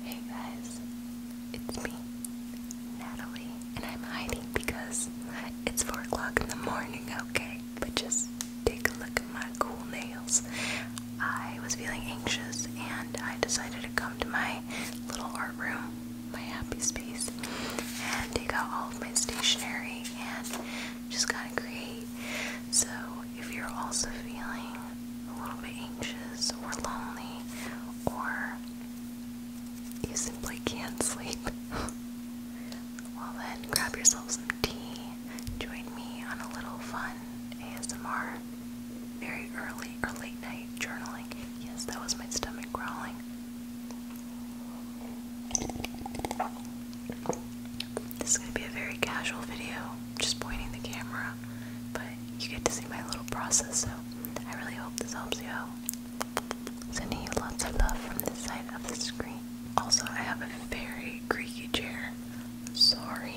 Hey guys, it's me, Natalie, and I'm hiding because it's 4 o'clock in the morning, okay? But just take a look at my cool nails. I was feeling anxious and I decided to come to my little art room, my happy space, and take out all of my stationery and just kind of create. So if you're also feeling a little bit anxious or lonely, or you simply can't sleep, well then grab yourself some tea. Join me on a little fun ASMR, very early or late night journaling. Yes, that was my stomach growling. This is going to be a very casual video, just pointing the camera, but you get to see my little process, so I really hope this helps you out. Sending you lots of love from this side of the screen. Also, I have a very creaky chair. Sorry.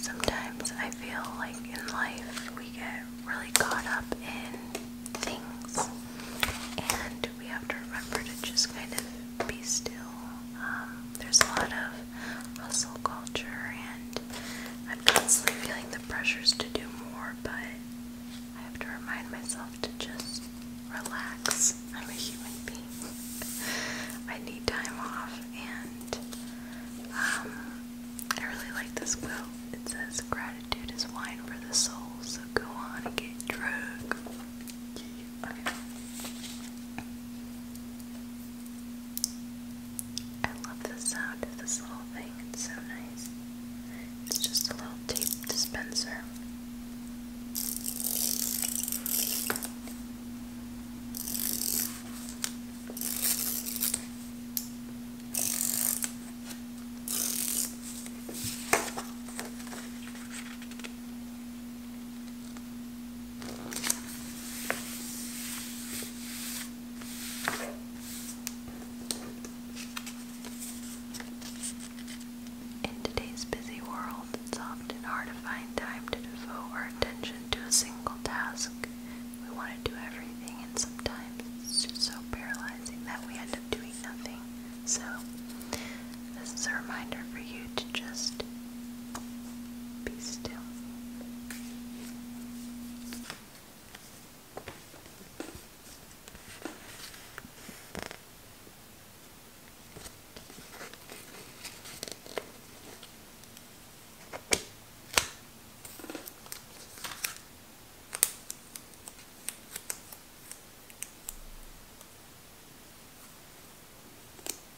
Sometimes I feel like in life we get really caught up in things and we have to remember to just kind of be still. Um, there's a lot of hustle culture, and I'm constantly feeling the pressures to do more, but I have to remind myself to just relax. I'm a human being. I need time off, and um, I really like this quote. It says, Gratitude is wine for the soul, so go on and get drunk. I love the sound of this little thing, it's so nice. It's just a little tape dispenser. In today's busy world, it's often hard to find time to devote our attention to a single task. We want to do everything, and sometimes it's just so paralyzing that we end up doing nothing. So, this is a reminder for you to just be still.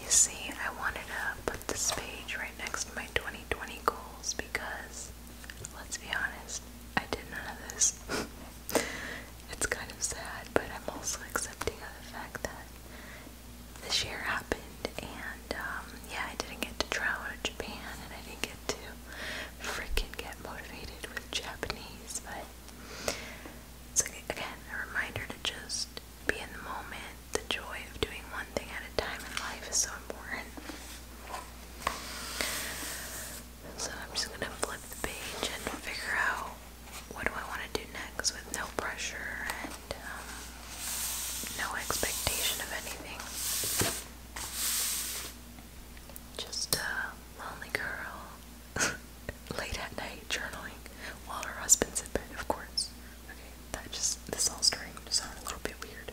You see, I wanted to put this page right next to my 2020 goals because, let's be honest, I did none of this. it's kind of sad, but I'm also accepting of the fact that this year happened, and um, yeah, I didn't get to travel to Japan, and I didn't get to freaking get motivated with Japanese, but it's like, again a reminder to just be in the moment. The joy of doing one thing at a time in life is so important. So I'm just gonna flip the page and figure out what do I want to do next with no pressure and um, no expectation of anything. Just a lonely girl late at night journaling while her husband's in bed, of course. Okay, that just this whole story sounded a little bit weird.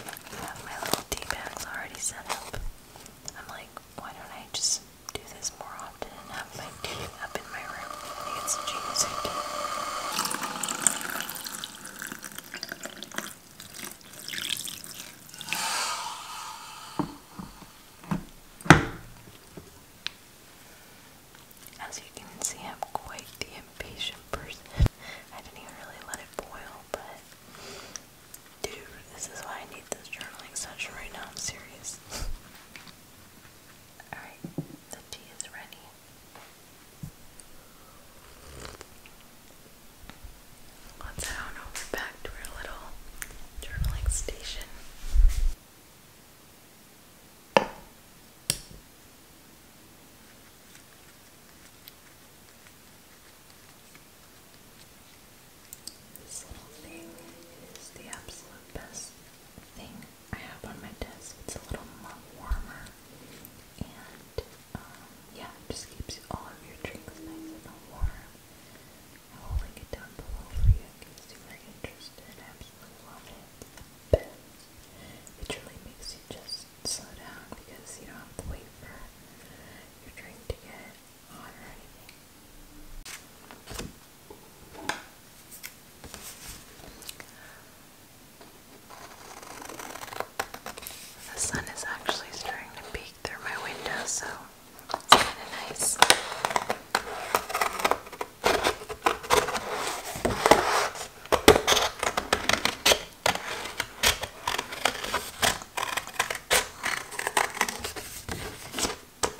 I have my little tea bags already set up. I'm like, why don't I just do this more often have my TV up in my room. I think it's As you can see, I'm quite the impatient person. I didn't even really let it boil, but Dude, this is why I need this journaling session right now. I'm serious. Alright, the tea is ready. Let's head on over back to our little journaling station. This little thing is the absolute best thing I have on my desk. It's a little warmer and um, yeah, it just keeps all of your drinks nice and warm. I will link it down below for you in case you are interested. I absolutely love it. It really makes you just slow down because you don't have to wait for your drink to get the sun is actually starting to peek through my window, so it's kind of nice. I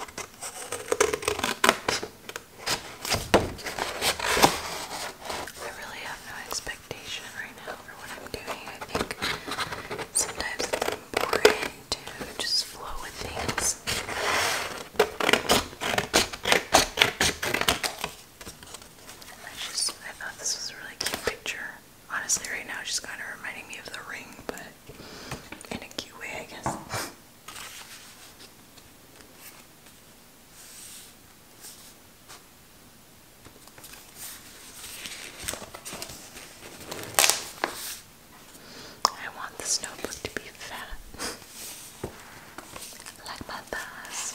really have no expectation right now for what I'm doing. I think sometimes it's boring to just flow with things. I just I thought this was a really cute picture honestly, right now, she's kind of reminding me of the ring, but in a cute way, I guess. I want this notebook to be fat. like my thighs.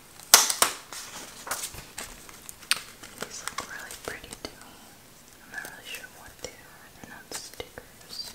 These look really pretty to me. I'm not really sure what they are. They're not stickers.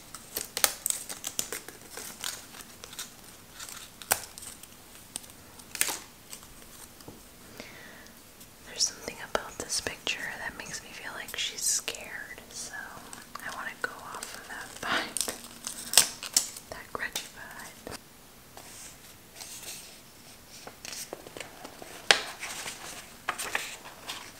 There's something about this picture that makes me feel like she's scared, so I want to go off of that vibe. That grudgy vibe.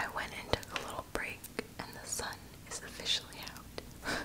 I went and took a little break, and the sun is officially out.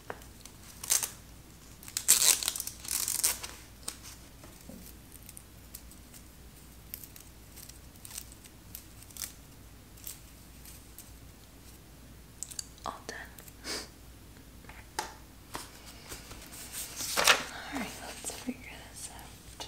All done. All right, let's figure this out.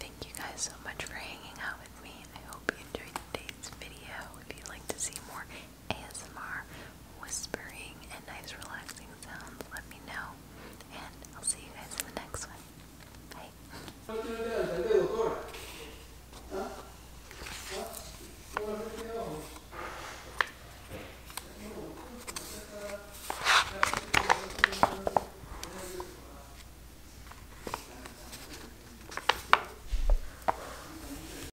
Thank you guys so much for hanging out with me. I hope you enjoyed today's video. If you'd like to see more ASMR whispering and nice relaxing sounds, let me know. And I'll see you guys in the next one. Bye.